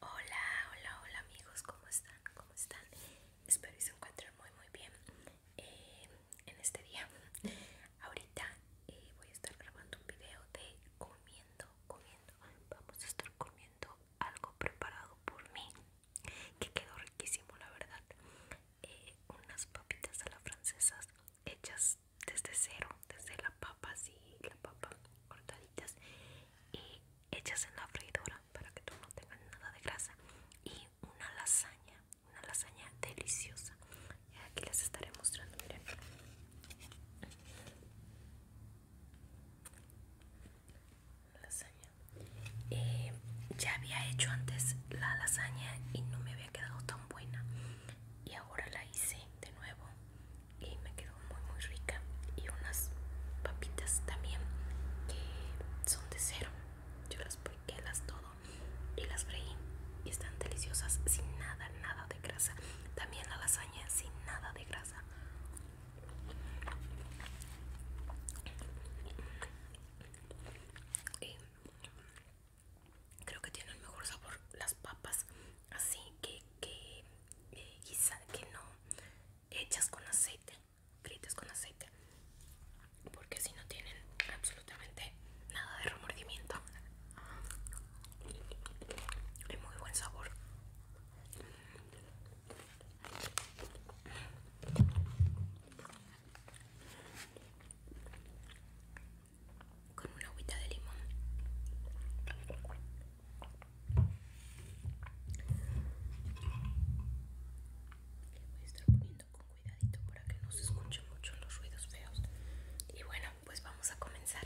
Hola, hola, hola amigos, ¿cómo están? ¿Cómo están? Espero que se encuentren muy muy bien eh, en este día. Ahorita eh, voy a estar grabando un video de comiendo, comiendo. Vamos a estar comiendo algo preparado por mí, que quedó riquísimo la verdad. Eh, unas papitas a la francesa hechas desde cero, desde la papa, sí, la papa cortaditas y hechas en la freidora para que tú no tengas nada de grasa y una lasaña, una lasaña deliciosa. Y aquí les estaré mostrando, miren. Lasaña. Eh, ya había hecho antes la lasaña y no me había quedado tan buena. Y ahora la hice de nuevo y me quedó muy muy rica y unas papitas también que son de cero yo las piqué las todo y las freí y están deliciosas sin nada nada de grasa también la lasaña sin nada de grasa creo que tiene el mejor sabor las papas así que, que y que no hechas con aceite, fritas con aceite, porque si no tienen absolutamente nada de remordimiento. Y muy buen sabor. Con una agüita de limón. Le voy a estar poniendo con cuidadito para que no se escuchen mucho los ruidos feos. Y bueno, pues vamos a comenzar.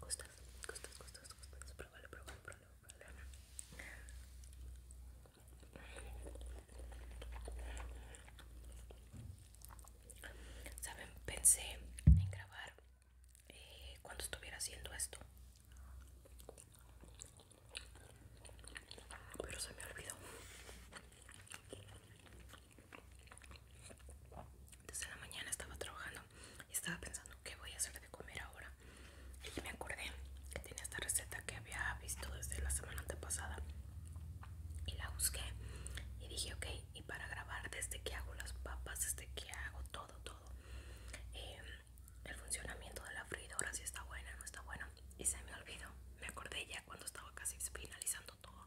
¿Gustas? ¿Gustas? ¿Gustas? ¿Gustas? pruébale pruébale pruébalo, pruébalo. Saben, pensé en grabar eh, cuando estuviera haciendo esto, pero se me olvidó. Desde la mañana estaba trabajando estaba pensando qué voy a hacer de comer ahora y me acordé que tenía esta receta que había visto desde la semana antepasada y la busqué y dije ok y para grabar desde que hago las papas desde que hago todo todo em, el funcionamiento de la freidora si está buena o no está buena y se me olvidó me acordé ya cuando estaba casi finalizando todo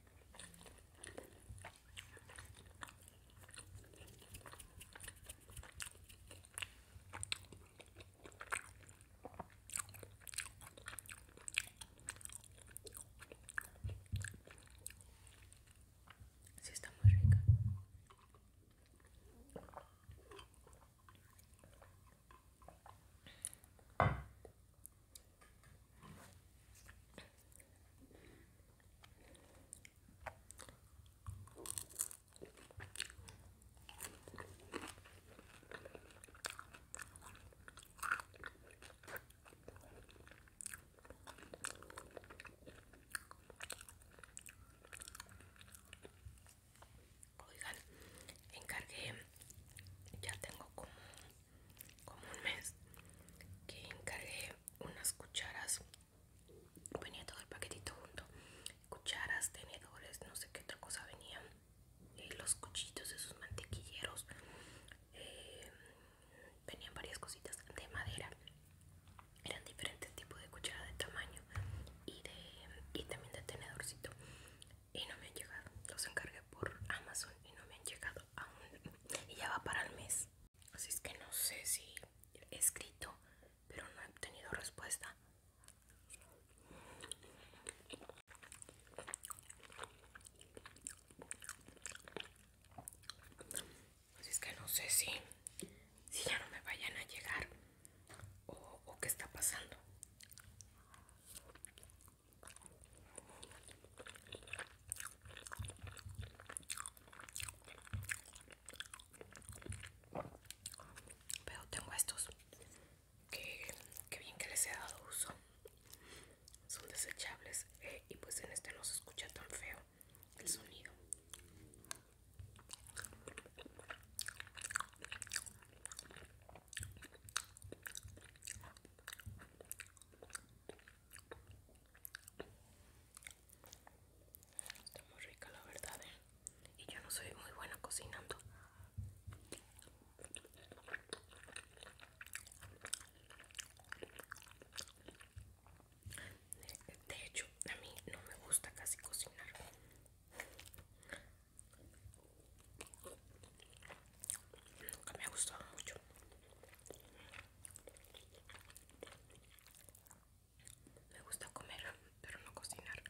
Sí, está muy rica. Oigan, encargué, ya tengo como como un mes que encargué unas cucharas venía todo el paquetito junto cucharas tenedores no sé qué otra cosa venían eh, los cuchitos de sus mantequilleros eh, venían varias cositas de madera eran diferentes tipos de cuchara de tamaño y de y también de tenedorcito y no me han llegado. Los encargué por Amazon y no me han llegado aún. Y ya va para el mes. Así es que no sé si he escrito, pero no he obtenido respuesta. Así es que no sé si, si ya no me vayan a llegar o, o qué está pasando. Pero tengo estos que, bien que les he dado uso. Son desechables eh, y pues en este no se escucha tan feo el sonido. Está muy rica la verdad, ¿eh? Y yo no soy muy buena cocinando. De hecho, a mí no me gusta casi cocinar. Nunca me ha gustado mucho me gusta comer pero no cocinar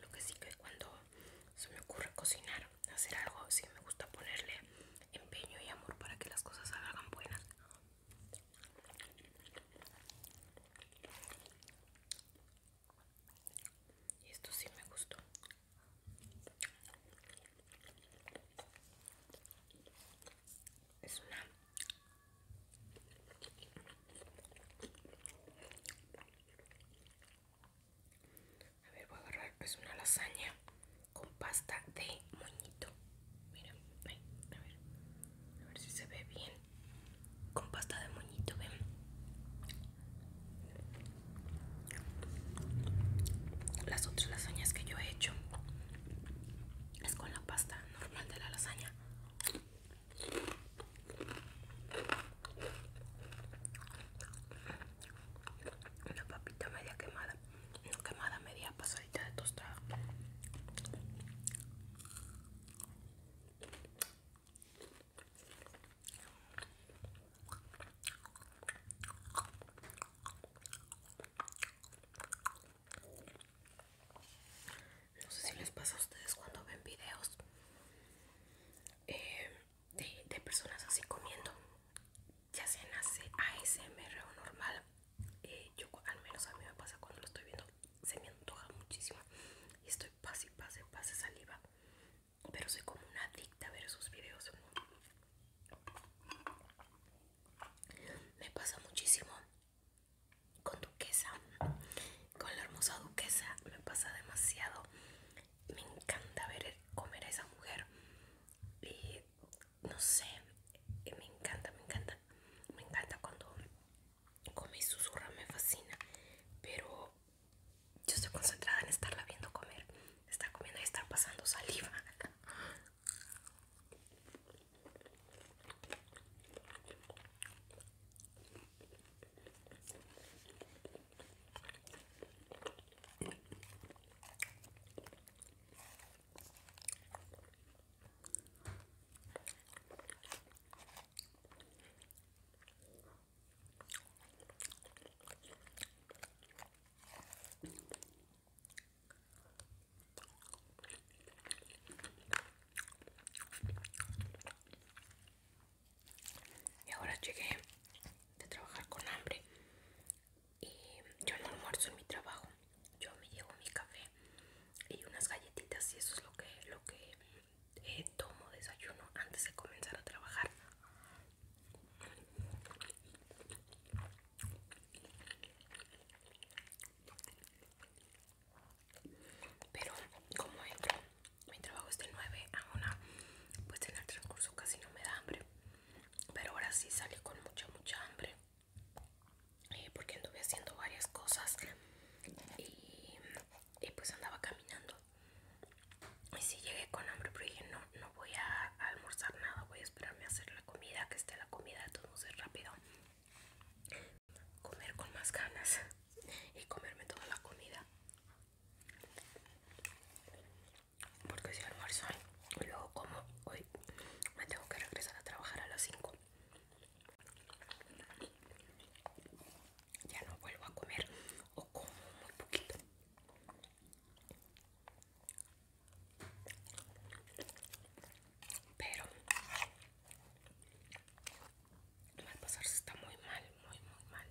lo que sí que cuando se me ocurre cocinar hacer algo sí me gusta ponerle empeño y amor para que las cosas salgan buenas y esto sí me gustó. Es una a ver, voy a agarrar, es una lasaña con pasta de moñito. Miren a ver, a ver si se ve bien. Con pasta de moñito, ven. Las otras lasañas que yo he hecho es con la pasta normal de la lasaña. Una papita media quemada. Una quemada media pasadita de tostada. No sé si les pasa a ustedes cuando ven videos eh, de, de personas así comiendo ya nace a ASMR o normal, eh, yo al menos a mí me pasa cuando lo estoy viendo, se me antoja muchísimo y estoy pase, pase, pase saliva, pero soy como una adicta a ver esos videos. Me pasa muchísimo con Duquesa, con la hermosa Duquesa, me pasa demasiado. Me encanta ver comer a esa mujer y no sé, eh, me encanta, me encanta, me encanta cuando come y susurra, me fascina, pero yo estoy concentrada en estarla viendo comer, estar comiendo y estar pasando saliva. Y ahora llegué de trabajar con hambre y yo no almuerzo en mi trabajo yo me llevo mi café y unas galletitas y eso es lo que lo que eh, tomo desayuno antes de comenzar a trabajar pero como entro mi trabajo es de 9 a una, pues en el transcurso casi no me da hambre pero ahora sí salí con mucha mucha hambre eh, porque anduve haciendo varias cosas y, pues andaba caminando y si llegué con hambre pero dije no no voy a, almorzar nada voy a esperarme a hacer la comida que esté la comida entonces rápido comer con más ganas y comerme toda la comida porque si almuerzo y luego como hoy me tengo que regresar a trabajar a las 5 ya no vuelvo a comer o como muy poquito pero al se está muy mal muy muy mal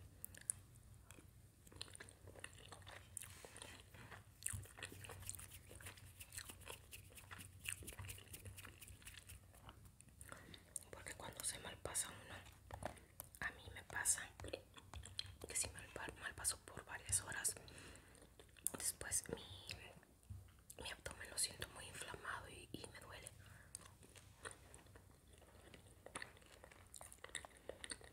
porque cuando se pasa uno, a mí me pasa que si mal malpaso por varias horas, después mi, abdomen lo siento muy inflamado y me duele.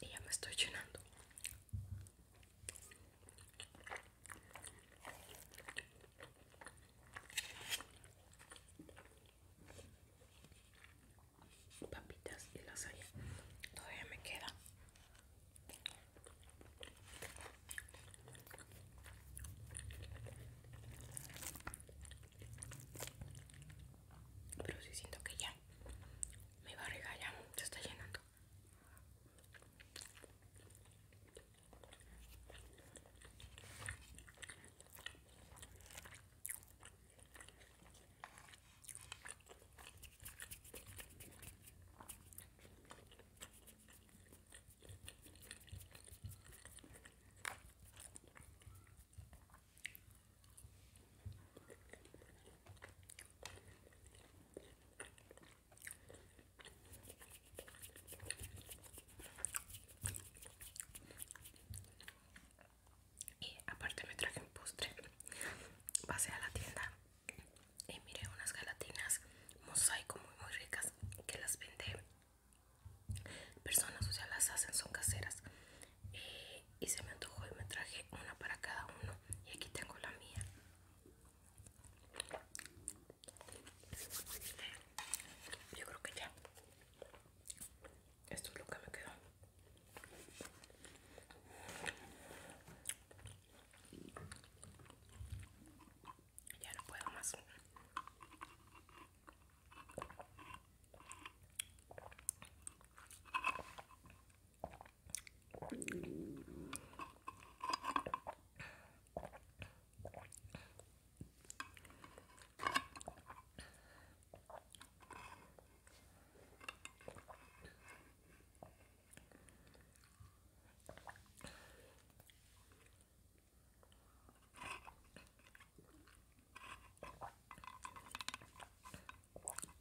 Y ya me estoy llenando. Papitas y lasaña. Todavía me queda pero sí siento que ya me mi barriga ya se está llenando. Y aparte me traje un postre. Pasé a la tienda y miré unas galatinas mosaico muy muy ricas que las vende personas, o sea las hacen, son caseras y, y se me antojó y me traje una para cada uno y aquí tengo la mía yo creo que ya esto es lo que me quedó ya no puedo más.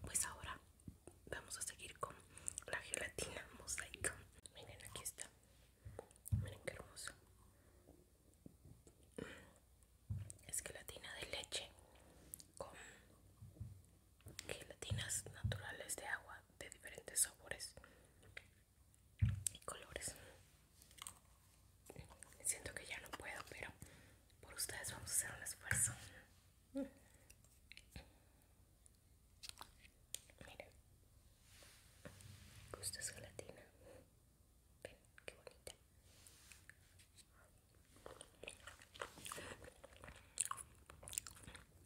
Pues ahora vamos a seguir con la gelatina mosaica. Miren, aquí está. Miren qué hermoso Es gelatina de leche con gelatinas naturales de agua de diferentes sabores y colores. Siento que ya no puedo, pero por ustedes vamos a hacer un esfuerzo. Miren, gusta esa gelatina. Ven, que bonita.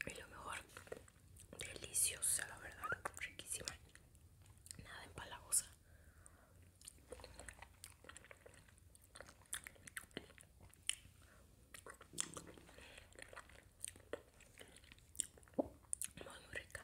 Y lo mejor, deliciosa, la verdad, riquísima. Nada empalagosa. Muy, muy rica.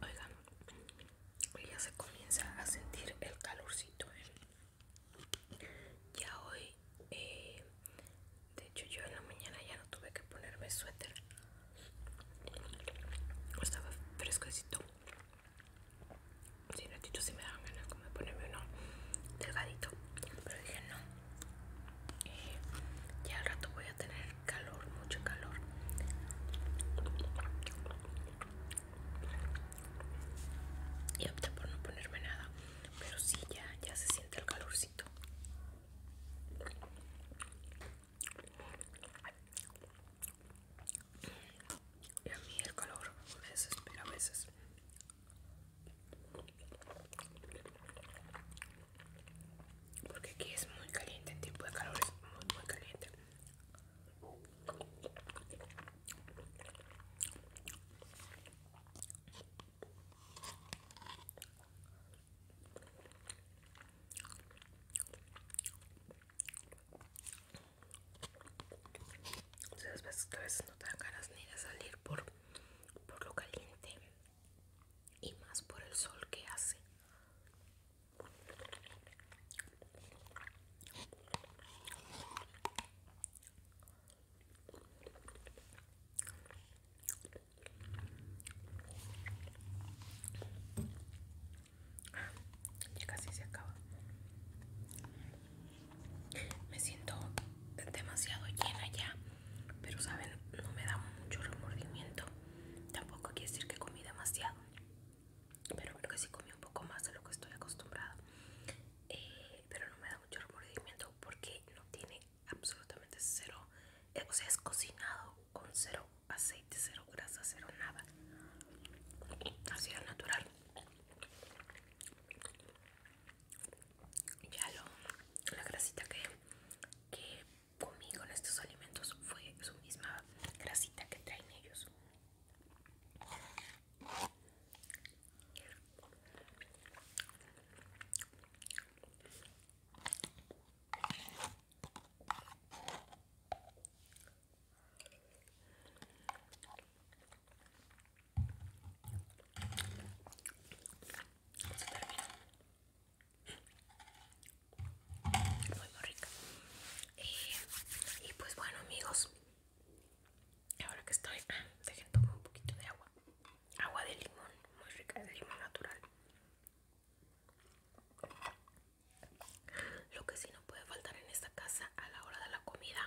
Oigan, ya se comienza a sentir el calorcito. ¿eh? Ya hoy, eh, de hecho, yo en la mañana ya no tuve que ponerme suéter. Estaba fresquecito. Si ratito si me daban ganas como de ponerme uno delgadito. Pero dije no. Eh, ya al rato voy a tener calor, mucho calor. Y opté por no ponerme nada, pero sí ya, se siente el calorcito. Y a mí el calor me desespera a veces porque aquí es muy caliente, en tipo de calor es muy muy caliente. O sea, que a veces no te dan ganas ni de salir por, por lo caliente y más por el sol que hace. Ya casi se acaba. Me siento demasiado llena ya, pero saben, no me da mucho remordimiento Tampoco quiere decir que comí demasiado, pero creo que sí comí un poco más de lo que estoy acostumbrado eh, pero no me da mucho remordimiento porque no tiene absolutamente cero, eh, o sea, es cocinado con cero aceite, cero grasa, cero nada. Así es natural. Ya lo, la grasita que, que Conmigo con estos alimentos fue su misma grasita que traen ellos muy muy rica eh, y pues bueno amigos ahora que estoy ah, dejen tomar un poquito de agua agua de limón muy rica de limón natural lo que sí no puede faltar en esta casa a la hora de la comida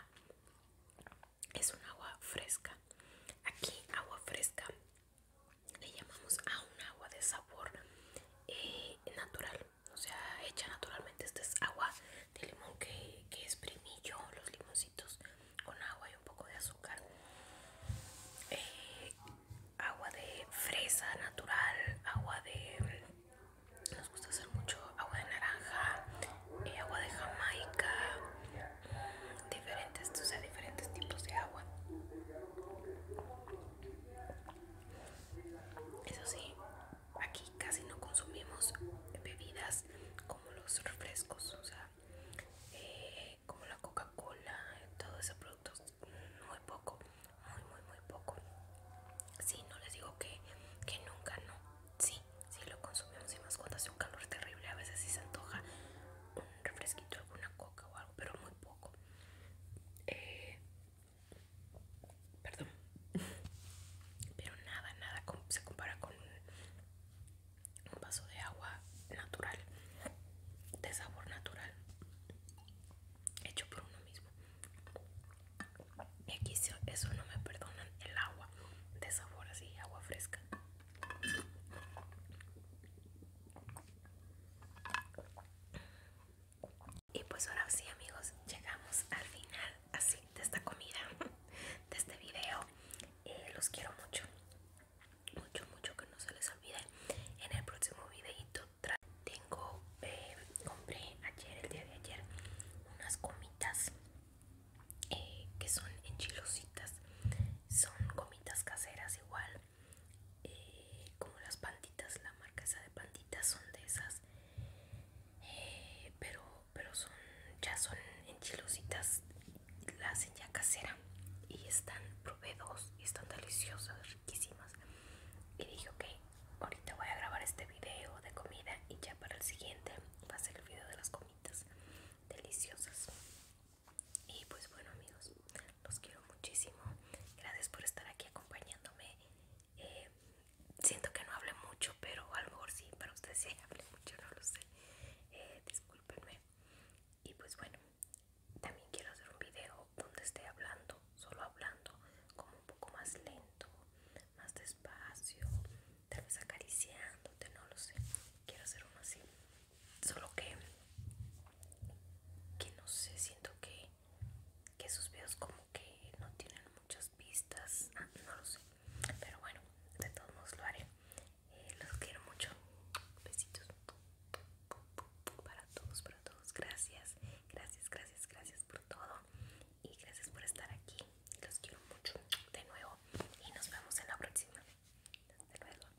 es un agua fresca aquí agua fresca le llamamos a un agua de sabor eh, natural o sea hecha naturalmente esta es agua de limón que, es primillo, los limoncitos con agua y un poco de azúcar eh, agua de fresa natural agua de nos gusta hacer mucho agua de naranja eh, agua de jamaica mm, diferentes diferentes tipos de agua eso sí, aquí casi no consumimos bebidas como los refrescos, o sea, eh, como la Coca-Cola, todos esos productos, muy poco, muy, muy, muy poco. Sí, no les digo que, que nunca, no. Sí, sí lo consumimos y más cuando hace un calor terrible, a veces sí se antoja un refresquito, alguna coca o algo, pero muy poco. Eh, perdón pero nada nada se compara con un vaso de agua natural de sabor natural hecho por uno mismo y aquí eso no me perdonan el agua de sabor así agua fresca y pues ahora sí amigos, llegamos al final así de esta comida, de este video. Eh, los quiero mucho, mucho, mucho que no se les olvide. En el próximo videito tengo, eh, compré ayer, el día de ayer, unas comitas eh, que son enchilositas. Son comitas caseras igual eh, como las panditas, la marca esa de panditas son de esas, eh, pero, pero son ya son enchilositas, Las hacen ya casera y están, proveedos y están deliciosas, riquísimas. Y dije, ok, ahorita voy a grabar este video de comida y ya para el siguiente va a ser el video de las comidas deliciosas. Y pues bueno amigos, los quiero muchísimo. Gracias por estar aquí acompañándome. Eh, siento que no hablé mucho, pero a lo mejor sí, para ustedes sí hablé mucho, no lo sé. Eh, discúlpenme. Y pues bueno, también quiero hacer un video donde esté hablando, solo hablando, como un poco más lento, más despacio, tal vez acariciándote, no lo sé. Quiero hacer uno así. Solo que, que no sé, siento que, que sus videos como que no tienen muchas vistas. Ah, no lo sé. Pero bueno, de todos modos lo haré. Eh, los quiero mucho. Besitos. Para todos, para todos. Gracias. Gracias, gracias, gracias por todo. Y gracias por estar aquí. Los quiero mucho de nuevo. Y nos vemos en la próxima. Hasta luego.